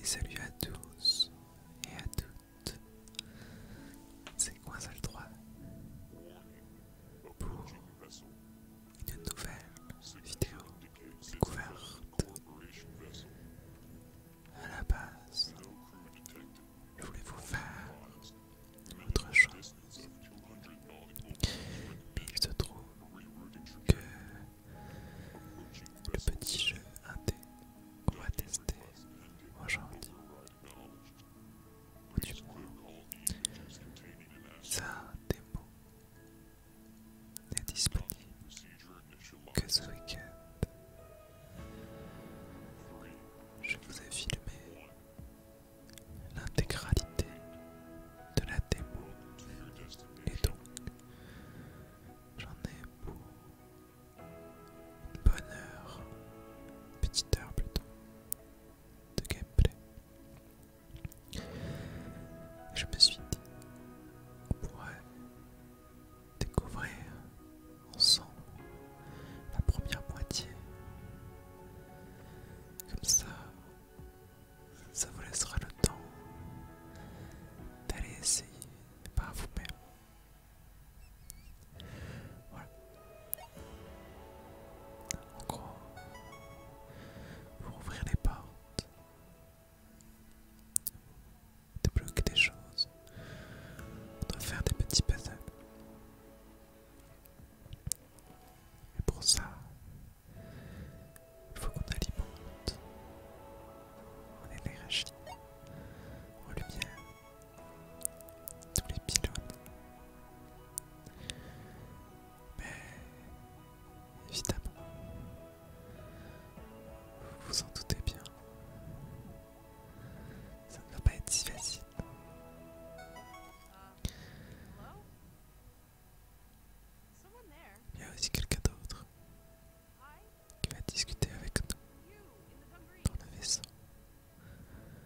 Et salut à tous et à toutes. C'est Coinsal 3 pour une nouvelle vidéo découverte. À la base, Que voulez vous faire autre chose. Mais il se trouve que le petit jeu indé qu'on va tester aujourd'hui, ou du moins sa démo, n'est disponible que ce week-end. Je vous ai filmé l'intégralité de la démo et donc j'en ai pour une bonne heure, petite heure plutôt, de gameplay. Je me suis dit, on pourrait découvrir ensemble la première moitié comme ça, ça vous laissera le temps d'aller essayer pas vous-même. Voilà. En gros, pour ouvrir les portes, bloquer des choses, de faire des petits puzzles. Et pour ça, il faut qu'on alimente en énergie, en lumière, tous les pylônes. Mais évidemment, vous vous en doutez bien, ça ne va pas être si facile. Il y a aussi quelqu'un d'autre qui va discuter avec nous dans le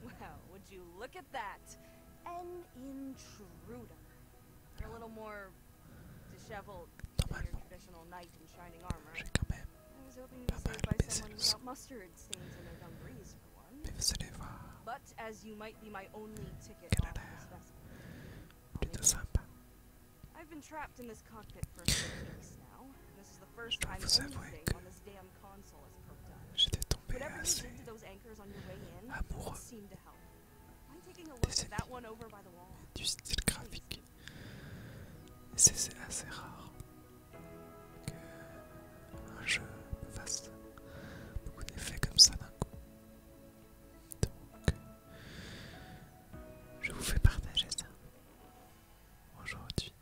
Wow, would you look at that? An intruder. A little more disheveled than your traditional knight in shining armor. I was hoping you'd be saved by someone but as you might be my only ticket on I've been trapped in this cockpit for a few now. This is the first time I'm anything on this damn console has perked up. Whatever you did to those anchors on your way in seemed to help. I'm taking a look at that one over by the wall. Du style graphique. C'est assez rare. qu'un jeu ne fasse beaucoup d'effets comme ça d'un coup. Donc, je vous fais partager ça aujourd'hui.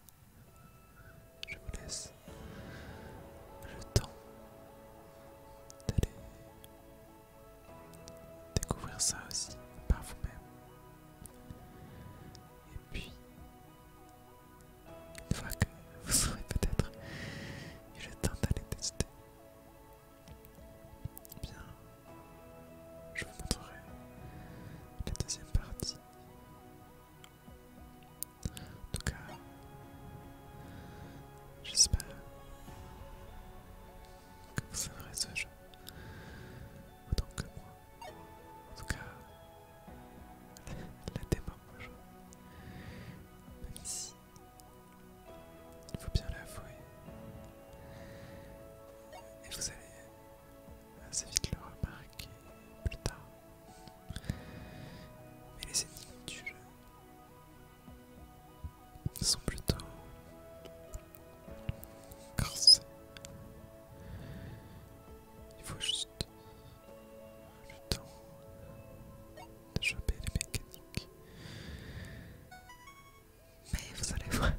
Je vous laisse le temps d'aller découvrir ça aussi par vous-même. Et puis, une fois que vous serez peut-être eu le temps d'aller tester, eh bien, je vous montrerai la deuxième partie. En tout cas, j'espère que vous aimerez ce jeu autant que moi. En tout cas, la vois. Même si il faut bien l'avouer. Et vous allez assez vite le remarquer plus tard. Mais les ennemis du jeu sont plutôt Il faut juste le temps de choper les mécaniques. Mais vous allez voir,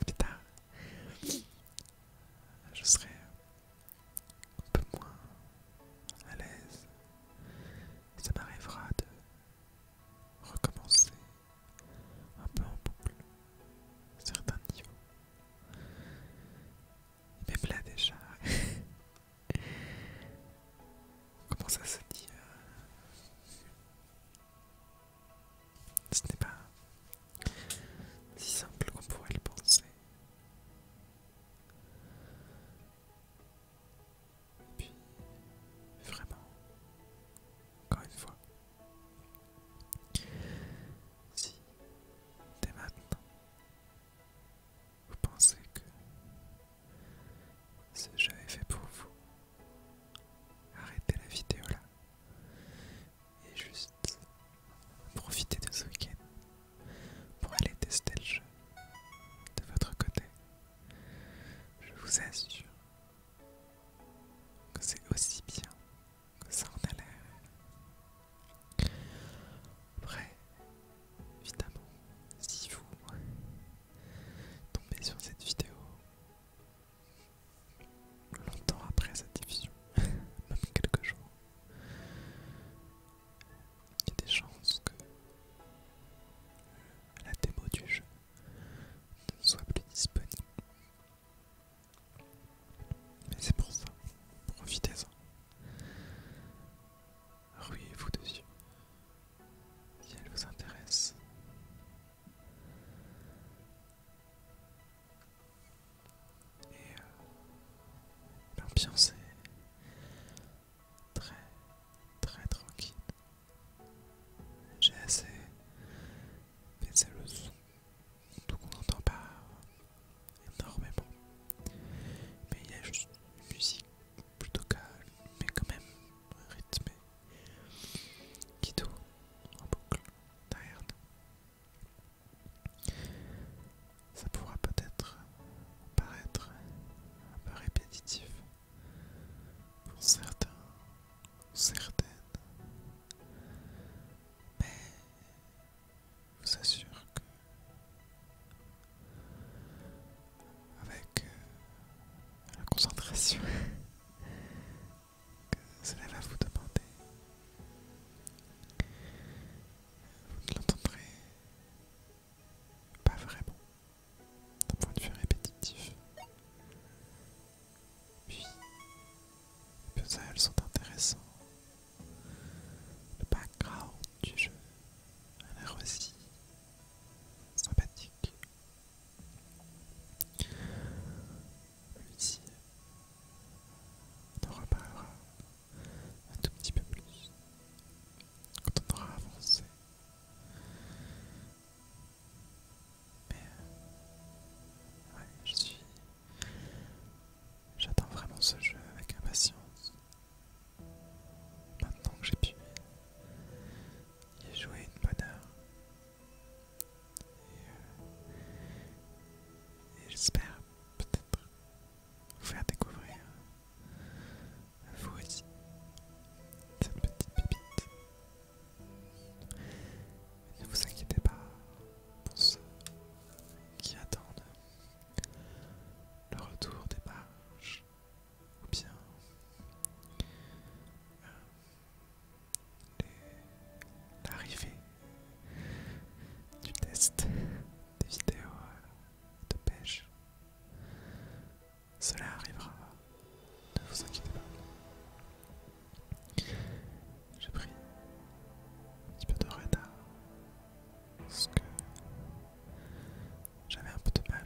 plus tard, je serai un peu moins à l'aise. Ça m'arrivera de recommencer un peu en boucle certains niveaux. Mais là déjà. Comment ça se dit euh, Ce n'est pas si simple qu'on pourrait le penser. Puis, vraiment, encore une fois, si dès maintenant vous pensez que ce jeu est fait pour vous Arrêtez la vidéo là et juste profitez de ce week-end pour aller tester le jeu de votre côté. Je vous assure que c'est aussi bien ça en a l'air. Après, évidemment, si vous tombez sur cette vidéo longtemps après cette diffusion, même quelques jours, il y a des chances que la démo du jeu ne soit plus disponible. Mais c'est pour ça, profitez-en. Ruez-vous dessus si elle vous intéresse. Et l'ambiance euh, ben, est très très tranquille. J'ai assez baissé le son, donc qu'on n'entend pas énormément. Mais il y a juste une musique plutôt calme, mais quand même rythmée, qui tourne en boucle derrière Ça pourra peut-être paraître un peu répétitif pour certains ou certaines, mais je vous assure que avec euh, la concentration que cela va vous demander, vous ne l'entendrez pas vraiment d'un point de vue répétitif. Puis les puzzles sont intéressants. Le background du jeu a l'air aussi sympathique. Ici, on en reparlera un tout petit peu plus quand on aura avancé. Mais, euh, ouais, je suis J'attends vraiment ce jeu avec impatience. Maintenant que j'ai pu y jouer une bonne heure. Et, euh, j'espère peut-être vous faire découvrir vous aussi cette petite pépite. Ne vous inquiétez pas pour ceux qui attendent le retour des pages ou bien euh, l'arrivée du test des vidéos euh, de pêche. Cela arrivera, ne vous inquiétez pas. J'ai pris un petit peu de retard parce que j'avais un peu de mal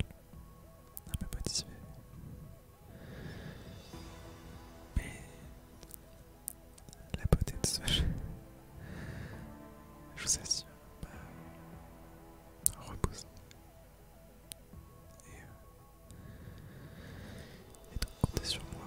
à me motiver. Mais la beauté de ce jeu, je vous assure, bah, Et, euh, et donc comptez sur moi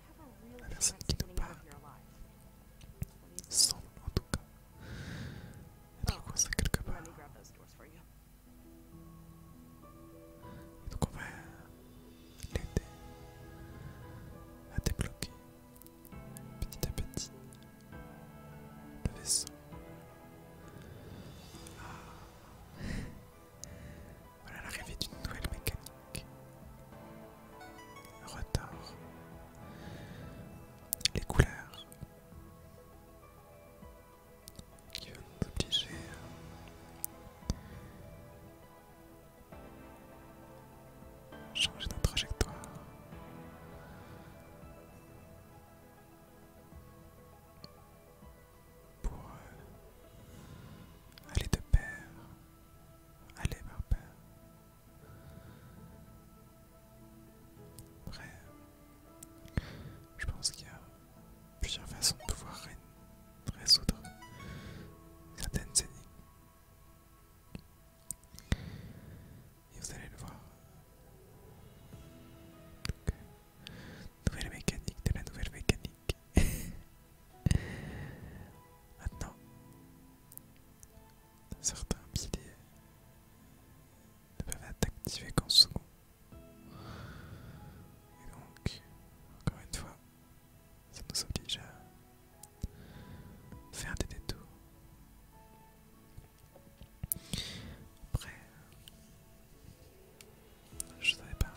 la personne qui nous parle. Semble en tout cas être coincée quelque part. Et donc on va l'aider à débloquer petit à petit le vaisseau. Ah. Voilà l'arrivée d'une nouvelle mécanique. Retard. Les couleurs qui vont nous obliger à changer notre trajectoire pour euh, aller de pair, aller par pair. Après, je pense qu'il y a plusieurs façons de pouvoir résoudre certaines scéniques. Et vous allez le voir. Nouvelle mécanique de la nouvelle mécanique. Maintenant, certains piliers ne peuvent être activés qu'en second. Et donc, encore une fois, ça nous oblige à faire des détours. Après, je savais pas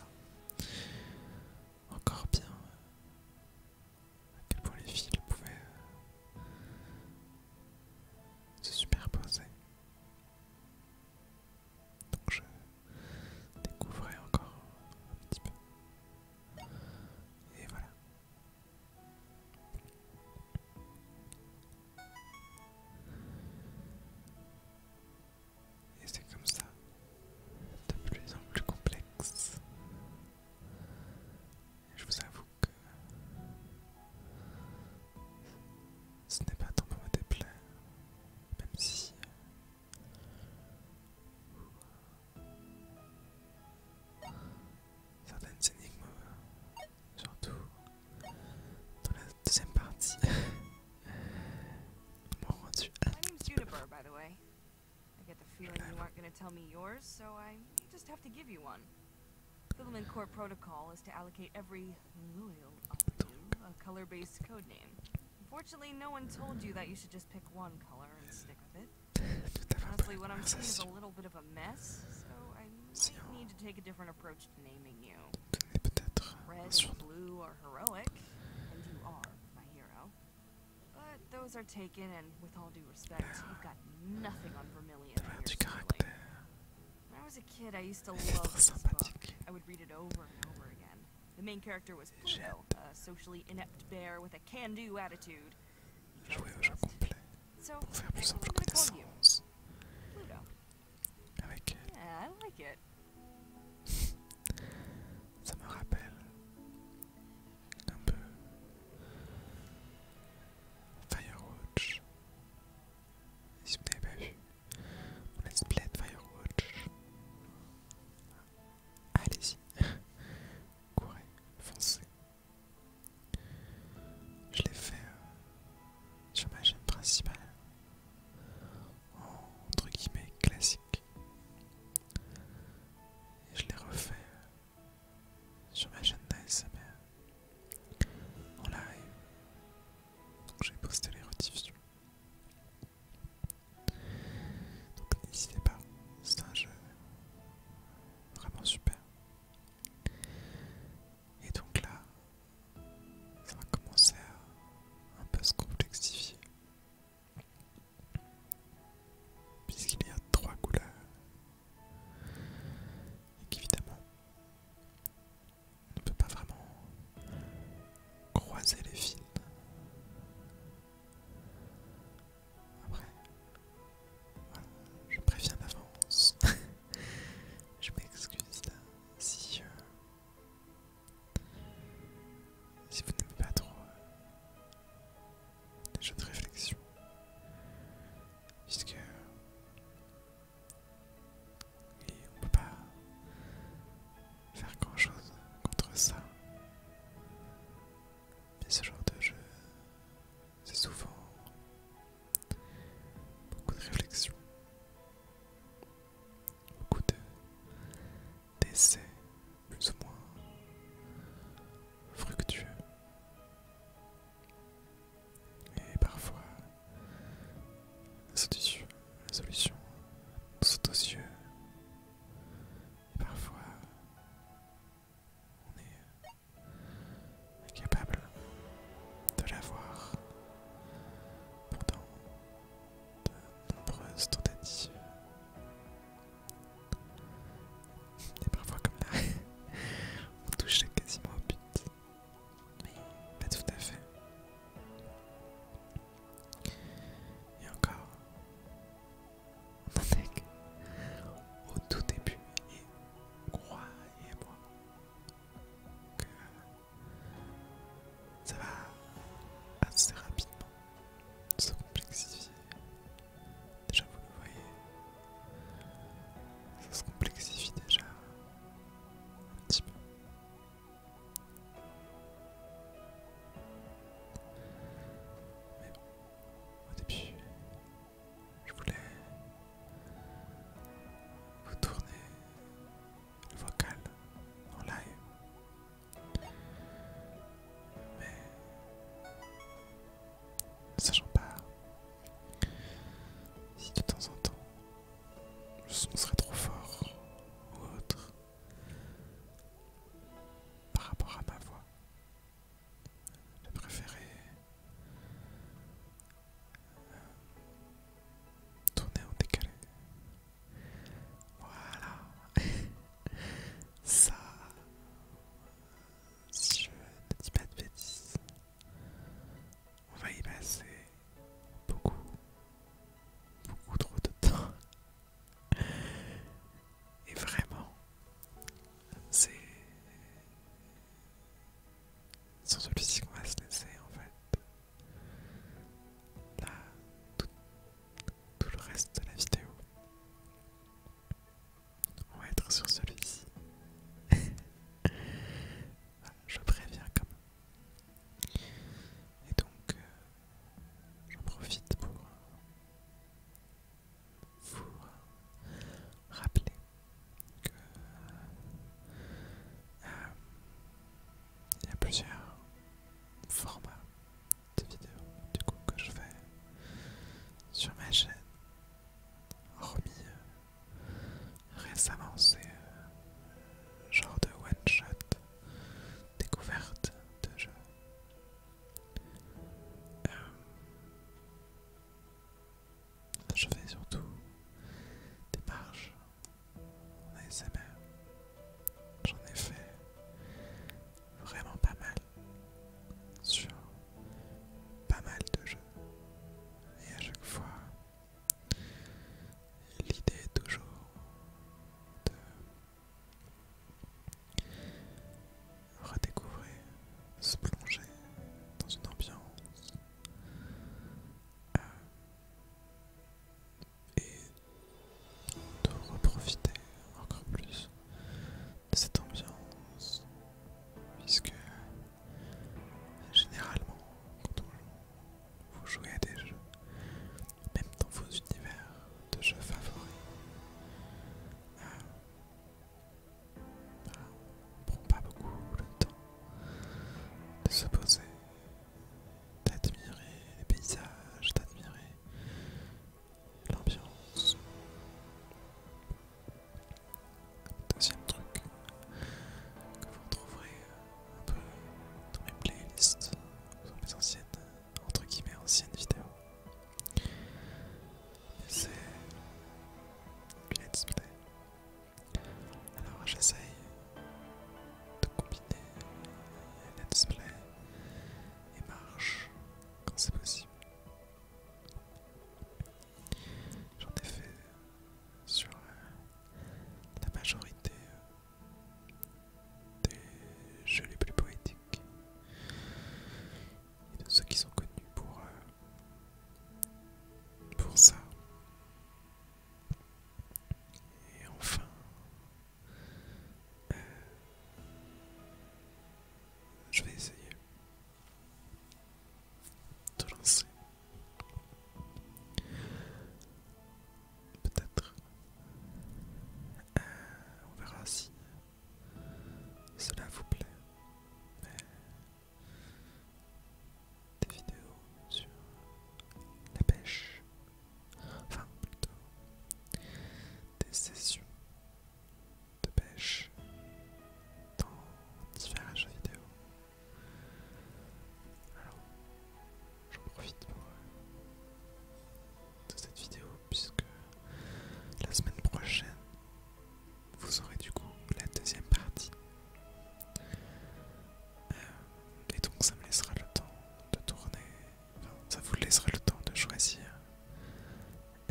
encore bien à quel point les fils pouvaient euh, se superposer. Donc je découvrais encore un petit peu. Et voilà. Et c'est comme ça, de plus en plus complexe. je vous avoue que ce n'est pas tant pour me déplaire, même si euh, certaines énigmes, euh, surtout dans la deuxième partie, My name's Juniper, by the way. I get the feeling you aren't going to tell me yours, so I just have to give you one. Filament Corp protocol is to allocate every loyal operative a color-based code name. Unfortunately, no one told you that you should just pick one color and stick with it. Honestly, what I'm seeing is a little bit of a mess, so I might need to take a different approach to naming you. Red and blue heroic, and you are my hero. But those are taken, and with all due respect, you've got nothing on Vermilion. When I was a kid, I used to love this I would read it over and over again. The main character was Pluto, a socially inept bear with a can-do attitude. So, I like it. Ça me rappelle un peu Firewatch. Si vous n'avez pas vu mon let's play de Firewatch, allez-y, courez, foncez. Je l'ai fait euh, sur ma chaîne principale entre guillemets classique. Et je l'ai refait euh, sur ma chaîne d'ASMR en live. Donc j'ai posté les rediffusions. Donc n'hésitez pas, c'est un jeu vraiment super. Et donc là, ça va commencer à un peu se complexifier. Puisqu'il y a trois couleurs. Et qu'évidemment, on ne peut pas vraiment croiser les fils. Après, je préviens d'avance. je m'excuse si euh, si vous n'aimez pas trop euh, des jeux de réflexion, puisque et on peut pas faire grand chose contre ça. Mais ce genre de jeu, c'est souvent beaucoup de réflexion beaucoup de décès plus ou moins fructueux. Et parfois, la solution, aux yeux. Et parfois, on est incapable de la voir. Pourtant, de nombreuses tentatives. Et parfois comme là, on touche quasiment au but. Mais pas tout à fait. Et encore, on en au tout début et croyez-moi que ça va assez rapidement se complexifier. Déjà, vous le voyez, ça se complexifie déjà un petit peu. Mais au début, je voulais vous tourner vocal en live. Mais sachant pas si de temps en temps le son serait trop fort ou autre par rapport à ma voix. je préféré euh, tourner en décalé voilà. Ça, si je ne dis pas de bêtises, on va y passer beaucoup, beaucoup trop de temps. Et vraiment, c'est sur celui-ci qu'on va se laisser en fait tout, le reste de la vidéo. On va être sur celui-ci. Je préviens quand même. Et donc, euh, j'en profite pour euh, vous euh, rappeler que il y a plusieurs formats de vidéos du que je fais sur ma chaîne. Hormis euh, récemment c'est euh, genre de one shot découverte de jeux euh, je fais surtout des marches mon ASMR. J'en ai fait vraiment pas mal sur pas mal de jeux. Et à chaque fois, l'idée est toujours de redécouvrir, se plonger dans une ambiance. Euh, et de re-profiter encore plus de cette ambiance puisque généralement quand vous jouez à des jeux même dans vos univers de jeux favoris euh, on ne prend pas beaucoup le temps de se poser d'admirer les paysages, d'admirer l'ambiance. Deuxième truc que vous retrouverez euh, un peu dans mes playlists, dans mes anciennes, entre anciennes vidéos, c'est du alors j'essaye de combiner let's play et marche quand c'est possible. J'en ai fait sur la majorité des jeux les plus poétiques et de ceux qui sont connus pour, euh, pour ça. Et enfin, euh, je vais essayer de lancer peut-être euh, on verra si cela vous plaît des vidéos sur la pêche, enfin plutôt des sessions de pêche dans différents jeux vidéo. Alors, j'en profite pour euh, de cette vidéo puisque la semaine prochaine vous aurez du coup la deuxième partie euh, et donc ça me laissera le temps de tourner, enfin, ça vous laissera le temps de choisir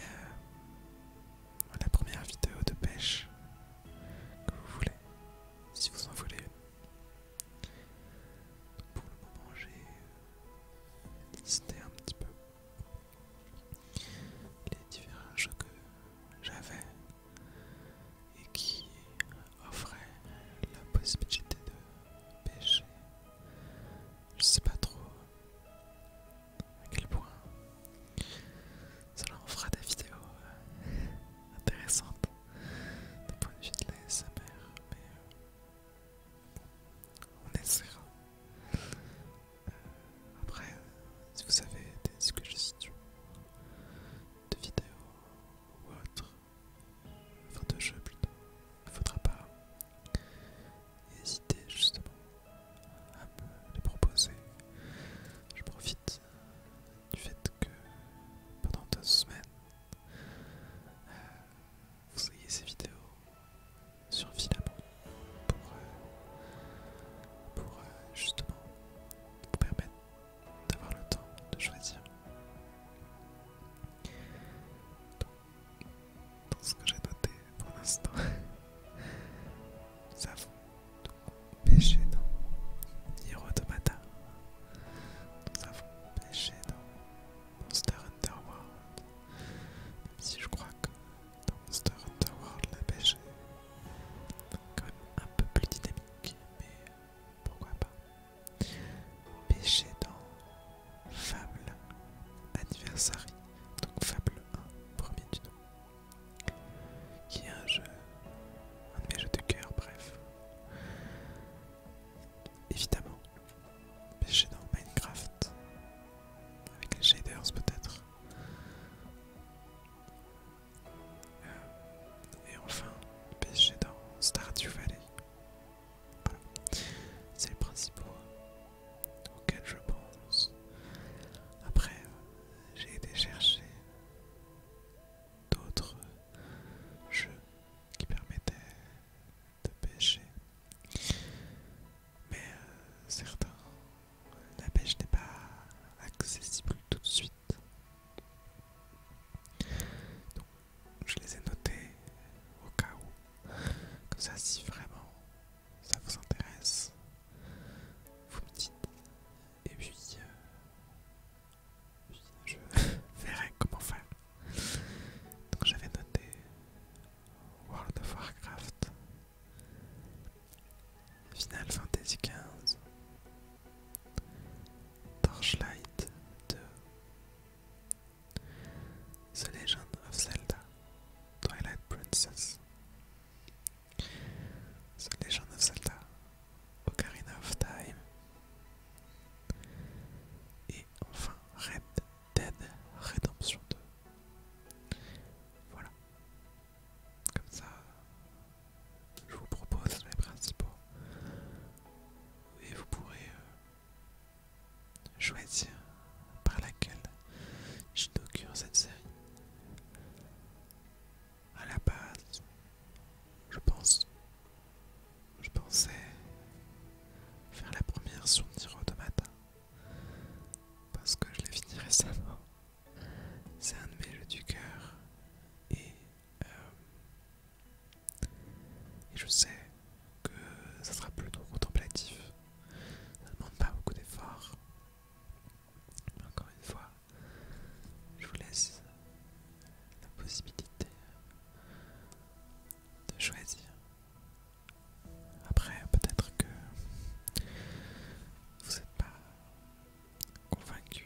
euh, la première vidéo de pêche que vous voulez, si vous en voulez Pour le moment, j'ai listé un petit peu les différents jeux que j'avais et qui offrait la possibilité de pêcher. Je sais pas trop à quel point cela en fera des vidéos euh, intéressantes du point de vue de la mais on essaiera. Euh, après, si vous savez que je suis de vidéos ou autre, enfin de jeux plutôt, il faudra pas hésiter justement à me les proposer. Je profite du fait que pendant deux semaines, euh, vous ayez ces vidéos sur pour, euh, pour euh, justement vous permettre d'avoir le temps de choisir. Dans ce que j'ai noté pour l'instant, nous avons pêché dans Hero Mata nous avons pêché dans Monster Underworld. même si je crois que dans Monster Underworld, World la pêché quand même un peu plus dynamique, mais pourquoi pas. Pêcher dans Fable Anniversary, donc Fable 1, premier du nom, qui est un jeu, un de mes jeux de cœur, bref. Évidemment, pêcher dans Minecraft, avec les shaders peut-être. Euh, et enfin, pêcher dans Stardew Valley. Voilà. C'est le principaux auxquels je pense. Après, j'ai été chercher d'autres jeux qui permettaient de pêcher. Mais euh, certains, la pêche n'est pas accessible tout de suite. Donc, je les ai notés au cas où. Comme ça, si vraiment ça vous intéresse, vous me dites. Et puis, euh, je verrai comment faire. Donc, j'avais noté World of Warcraft Final Fantasy XV, Torchlight 2, The Legend of Zelda, Twilight Princess, The Legend of Zelda, Ocarina of Time, et enfin Red Dead Redemption 2. Voilà, comme ça, je vous propose mes principaux. Et vous pourrez euh, choisir par laquelle je j'inaugure cette série. À la base, je pense, je pensais faire la première sur Niro de matin parce que je l'ai fini récemment c'est un de mes du cœur euh, et, je sais que ça sera plutôt contemplatif. Ça ne demande pas beaucoup d'efforts. Encore une fois, je vous laisse la possibilité de choisir. Après, peut-être que vous n'êtes pas convaincu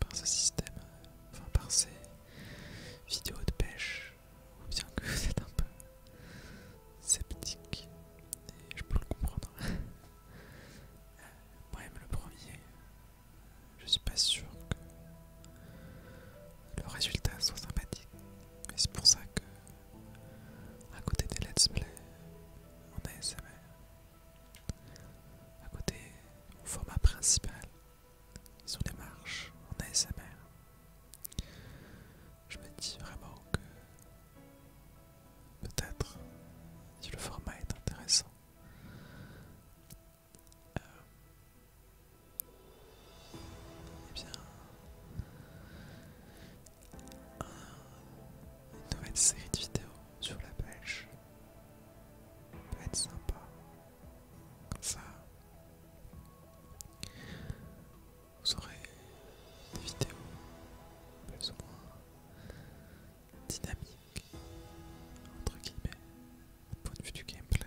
par ce système, enfin par ces vidéos de pêche, ou bien que vous êtes un peu sceptique, et je peux le comprendre. Euh, Moi-même le premier, je suis pas sûr que le résultat soit sympathique, et c'est pour ça que, à côté des let's play a ASMR, à côté, au format principal, ils ont des marches en ASMR. Je me dis vraiment que peut-être, si le format est intéressant, euh, eh bien, une nouvelle série de vidéos sur la pêche. peut être sympa. Comme ça, vous aurez des vidéos plus ou moins dynamiques, entre guillemets, au point de vue du gameplay.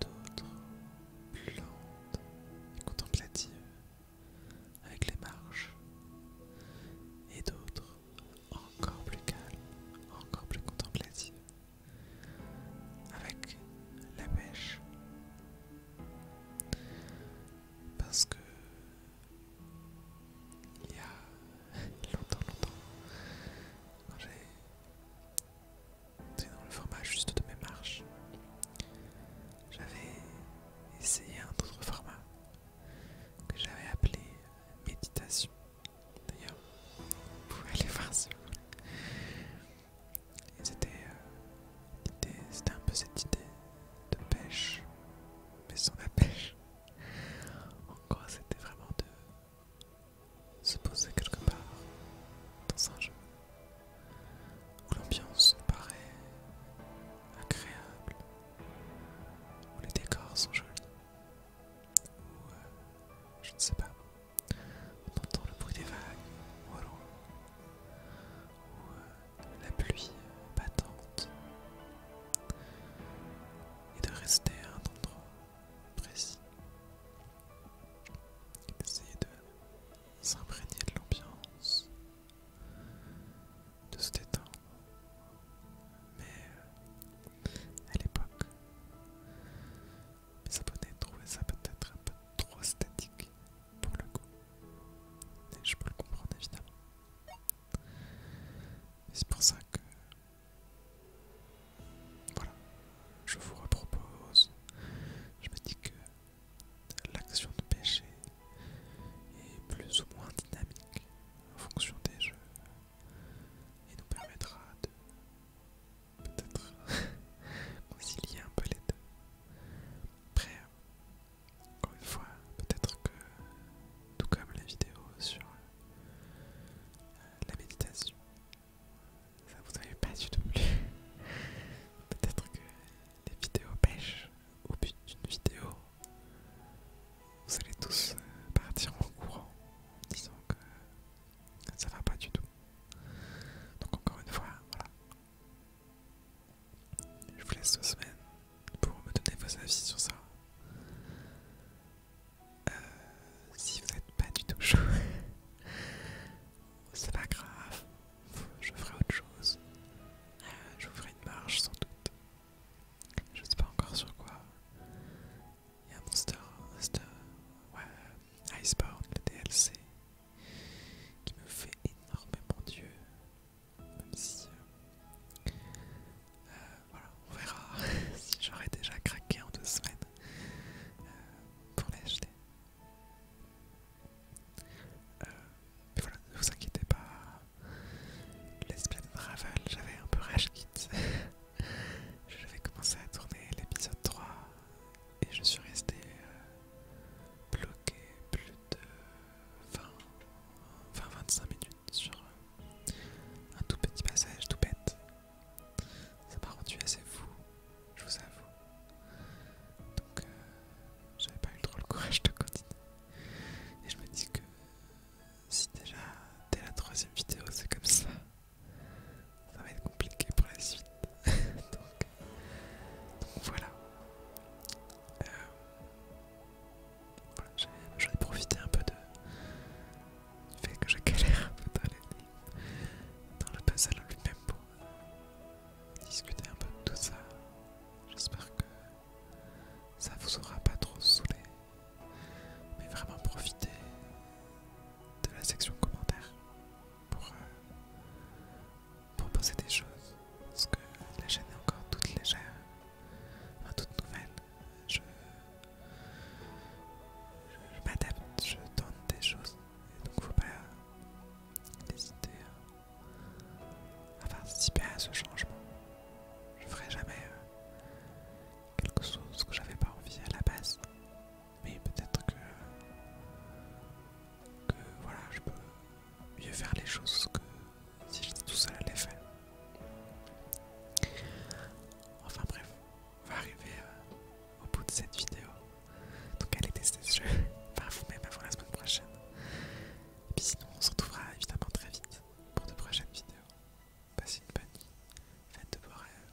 D'autres plus lentes et contemplatives avec les marches, et d'autres encore plus calmes, encore plus contemplatives, avec la pêche. Parce que il y a longtemps, longtemps, quand j'ai dans le format juste de mes marches, j'avais essayé un autre format que j'avais appelé méditation. D'ailleurs, vous pouvez aller voir si vous voulez. C'était un peu cette idée de pêche, mais sans la pêche. En c'était vraiment de se poser quelque part dans un jeu où l'ambiance paraît agréable, où les décors sont jolis, où, euh, je ne sais pas, on entend le bruit des vagues ou où euh, la pluie battante, et de rester à un endroit précis, et d'essayer de s'imprégner de l'ambiance, de se détendre. Mais euh, à l'époque, mes abonnés trouvaient ça peut-être un peu trop statique pour le coup. Et je peux le comprendre évidemment. C'est pour ça que voilà, je vous repropose. Je me dis que l'action de péché est plus ou moins dynamique en fonction des jeux et nous permettra de peut-être concilier un peu les deux. Après, encore une fois, peut-être que tout comme la vidéo sur euh, la méditation, ça vous avait pas du tout plu. Peut-être que les vidéos pêches au but d'une vidéo. Vous allez tous euh, partir en courant en disant que ça va pas du tout. Donc encore une fois, voilà. Je vous laisse deux semaines pour me donner vos avis sur ça. Euh, si vous n'êtes pas du tout chaud, c'est pas grave, je ferai autre chose. j'ouvrirai euh, je une marche sans doute. Je sais pas encore sur quoi. Il y a un Monster Iceborne, le DLC, qui me fait énormément dieu. Même si. Euh, euh, voilà, on verra si j'aurais déjà craqué en deux semaines pour l'acheter. Euh, mais voilà, ne vous inquiétez pas. de Raval, j'avais un peu rage quitte. je vais commencer à tourner l'épisode 3 et je suis resté euh, bloqué plus de 20-25 minutes sur euh, un tout petit passage tout bête. Ça m'a rendu assez fou, je vous avoue. Donc, euh, j'avais pas eu trop le courage de continuer. Et je me dis que si déjà dès la troisième vidéo c'est comme ça, ça va être compliqué pour la suite. donc, voilà. Euh, j'ai profité un peu du fait que je galère un peu dans, le puzzle lui-même pour, discuter un peu de tout ça. J'espère que ça vous aura pas trop saoulé. Mais vraiment profitez de la section commentaires pour euh, proposer des choses. Parce que la chaîne est encore toute légère, toute nouvelle. Je, je, m'adapte, je tente des choses. Et donc faut pas d'hésiter à, participer à ce changement. Je ferai jamais euh, quelque chose que j'avais pas envie à la base, mais peut-être que, que voilà, je peux mieux faire les choses que si j'étais tout seul à les faire. Enfin bref, on va arriver euh, au bout de cette vidéo. Donc allez tester ce jeu Enfin vous-même avant la semaine prochaine. Et puis sinon, on se retrouvera évidemment très vite pour de prochaines vidéos. Passez une bonne nuit, faites de beaux rêves.